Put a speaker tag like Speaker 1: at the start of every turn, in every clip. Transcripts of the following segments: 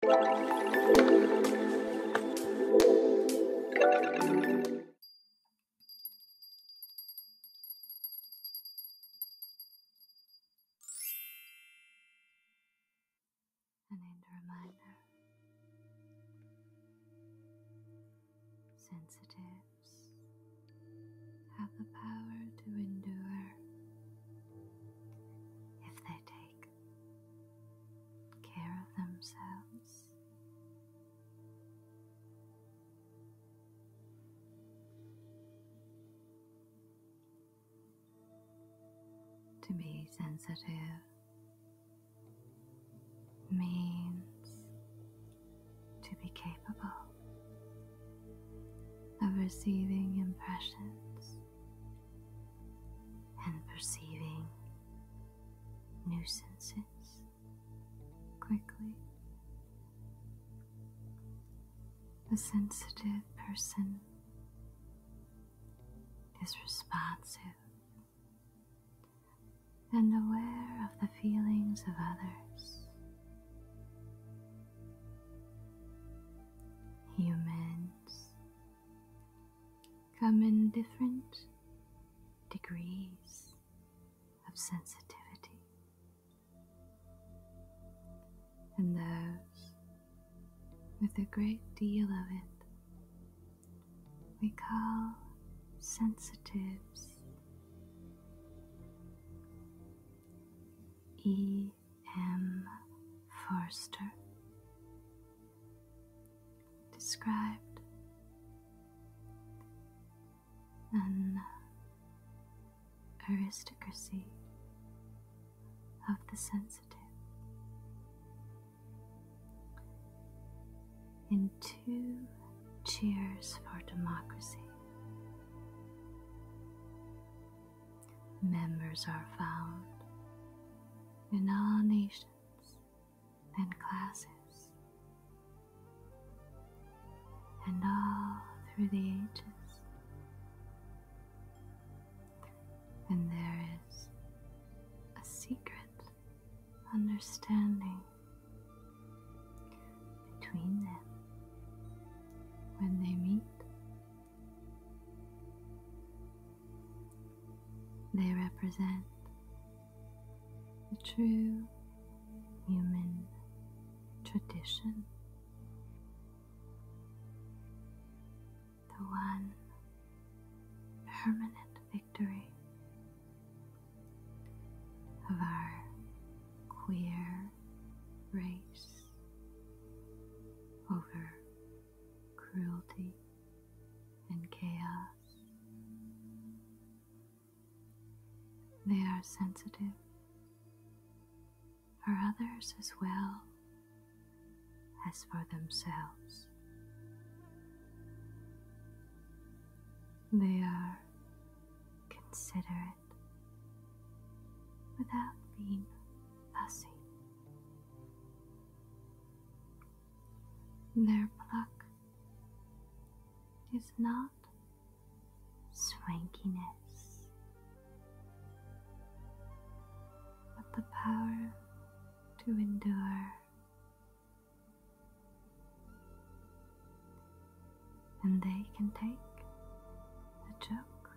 Speaker 1: I need a reminder. Sensitives have the power to endure if they take care of themselves. To be sensitive means to be capable of receiving impressions and perceiving new senses quickly. The sensitive person is responsive and aware of the feelings of others. Humans come in different degrees of sensitivity. And those with a great deal of it we call sensitives. E M. Forster described an aristocracy of the sensitive in two cheers for democracy members are found in all nations and classes, and all through the ages. And there is a secret understanding between them when they meet they represent the true human tradition, the one permanent victory of our queer race over cruelty, and chaos. They are sensitive for others as well as for themselves. They are considerate without being fussy. Their pluck is not swankiness, but the power to endure. And they can take a joke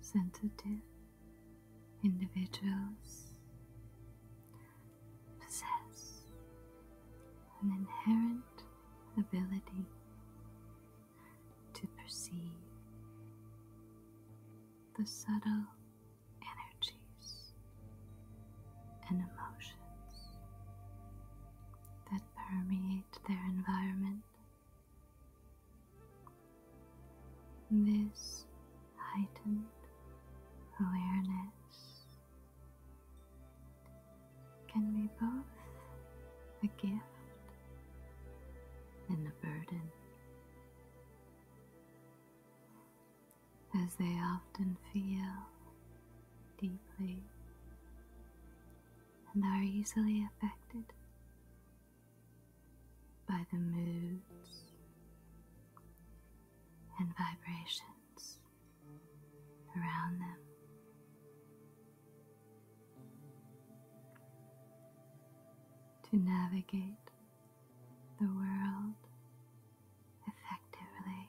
Speaker 1: sensitive individuals possess an inherent ability to perceive the subtle energies and emotions that permeate their environment. This heightened awareness can be both a gift and the burden, as they often feel deeply and are easily affected by the moods and vibrations around them to navigate the world effectively.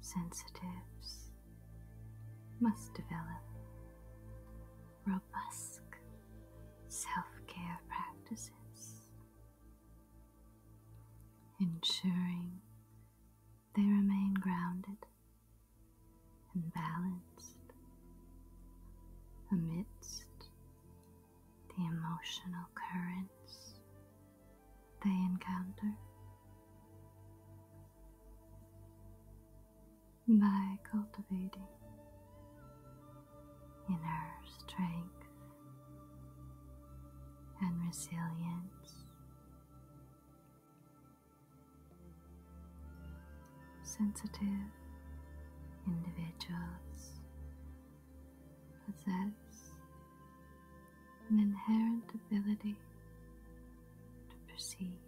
Speaker 1: Sensitives must develop robust self care practices, ensuring they remain grounded and balanced amidst the emotional currents they encounter. By cultivating inner strength and resilience Sensitive individuals possess an inherent ability to perceive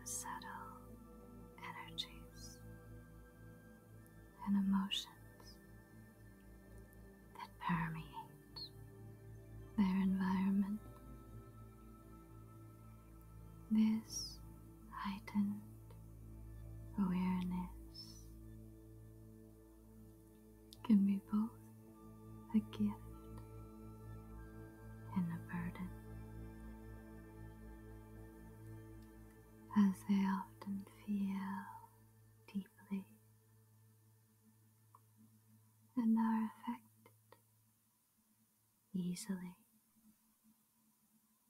Speaker 1: the subtle energies and emotions that permeate their environment. This heightened awareness can be both a gift and a burden, as they often feel deeply and are affected easily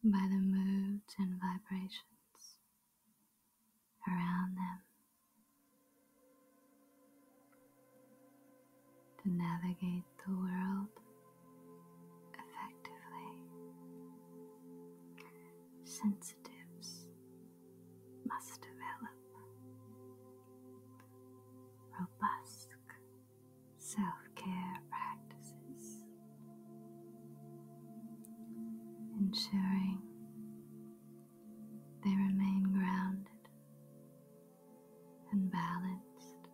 Speaker 1: by the moods and vibrations around them. To navigate the world effectively, sensitives must develop robust self care practices, ensuring they remain grounded and balanced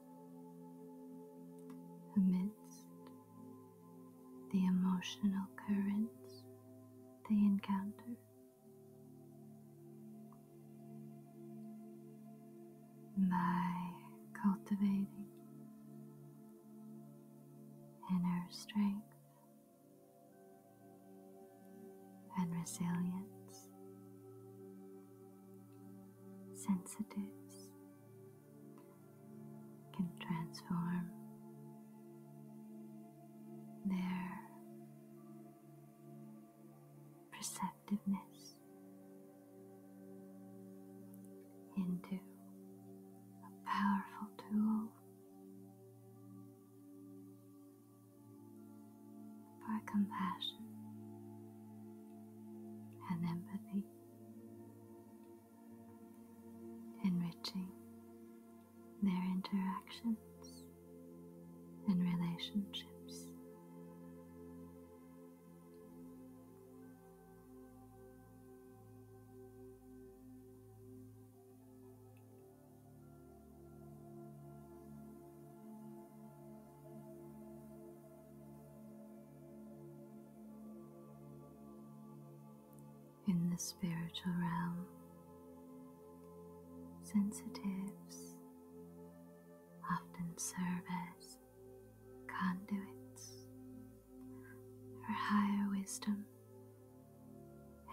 Speaker 1: amidst the emotional currents they encounter by cultivating inner strength and resilience, sensitives can transform their perceptiveness into a powerful tool for compassion and empathy, enriching their interactions and relationships in the spiritual realm. Sensitives often serve as conduits for higher wisdom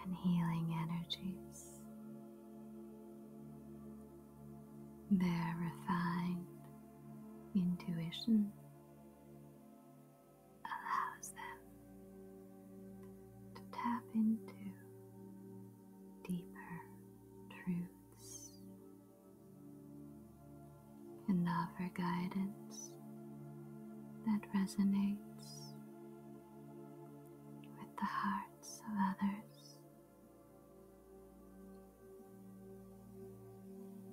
Speaker 1: and healing energies. Their refined intuition allows them to tap into deeper truths and offer guidance that resonates with the hearts of others.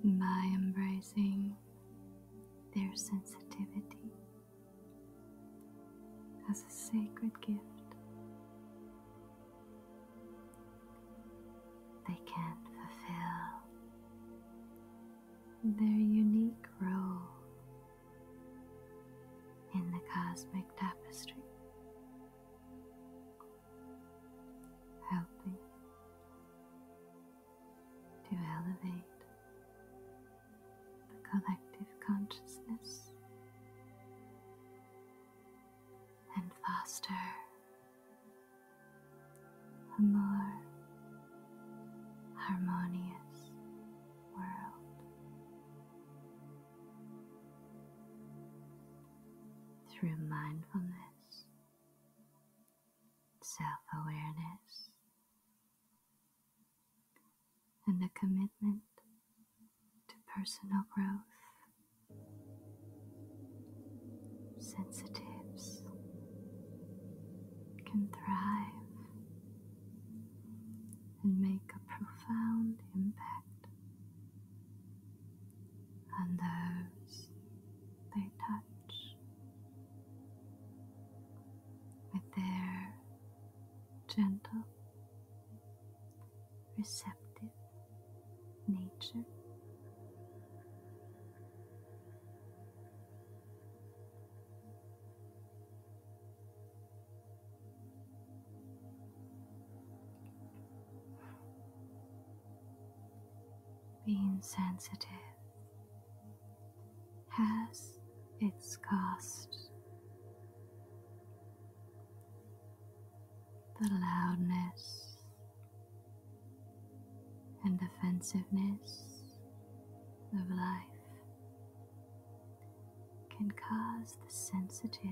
Speaker 1: By embracing their sensitivity as a sacred gift. They can fulfill their unique role in the cosmic tapestry, helping to elevate the collective consciousness, and faster, a more harmonious world through mindfulness, self awareness and a commitment to personal growth. Sensitives can thrive and make a profound impact on those they touch with their gentle, receptive nature. Being sensitive has its cost. The loudness and defensiveness of life can cause the sensitive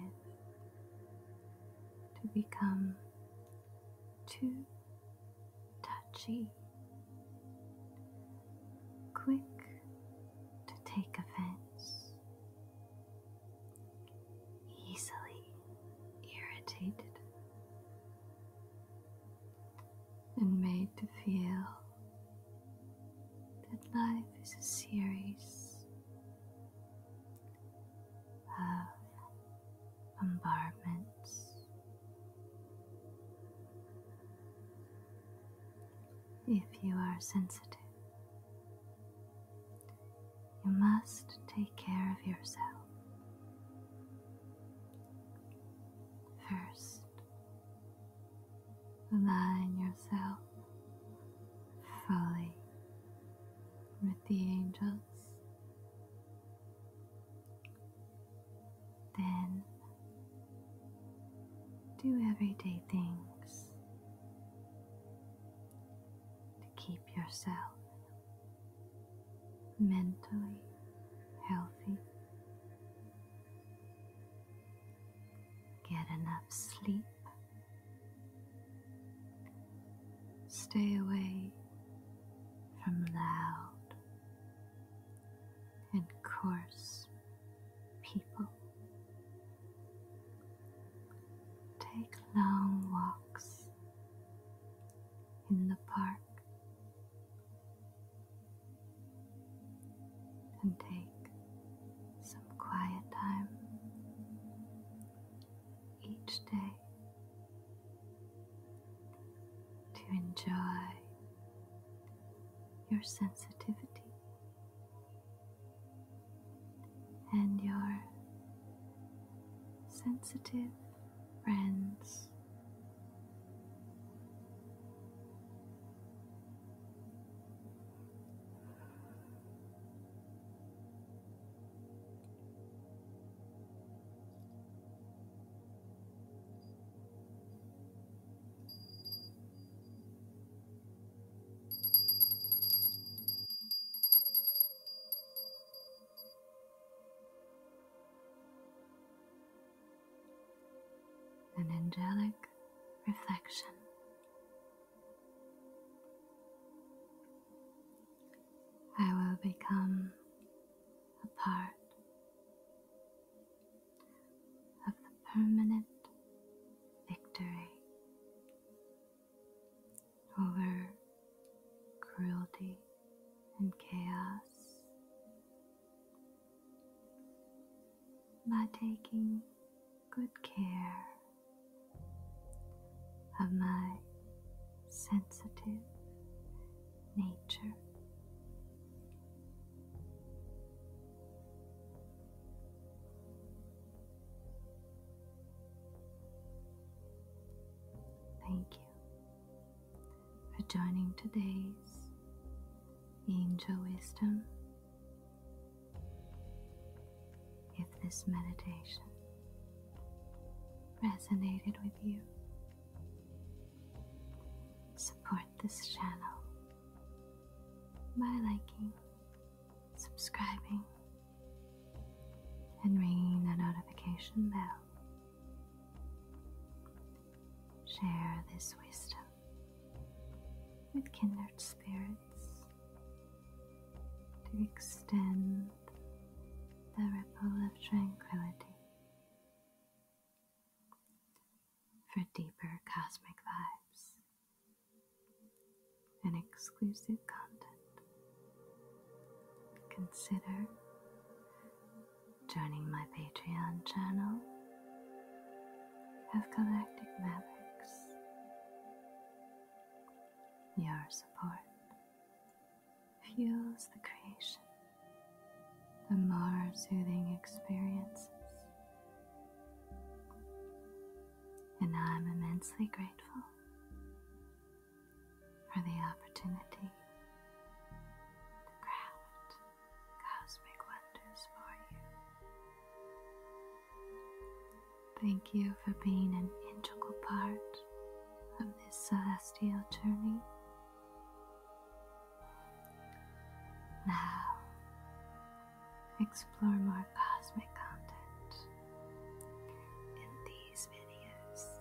Speaker 1: to become too touchy quick to take offense, easily irritated, and made to feel that life is a series of bombardments. If you are sensitive, you must take care of yourself. First, align yourself fully with the angels then do everyday things to keep yourself mentally healthy. Get enough sleep. Stay away from loud and coarse people. Take long walks in the park and take some quiet time each day to enjoy your sensitivity and your sensitive friends. An angelic reflection. I will become a part of the permanent victory over cruelty and chaos by taking good care of my sensitive nature. Thank you for joining today's Angel Wisdom. If this meditation resonated with you, Support this channel by liking, subscribing, and ringing the notification bell. Share this wisdom with kindred spirits to extend the ripple of tranquility for deeper cosmic vibes and exclusive content. Consider joining my Patreon channel of Galactic Mavericks. Your support fuels the creation, the more soothing experiences. And I'm immensely grateful for the opportunity to craft cosmic wonders for you. Thank you for being an integral part of this celestial journey now, explore more cosmic content in these videos.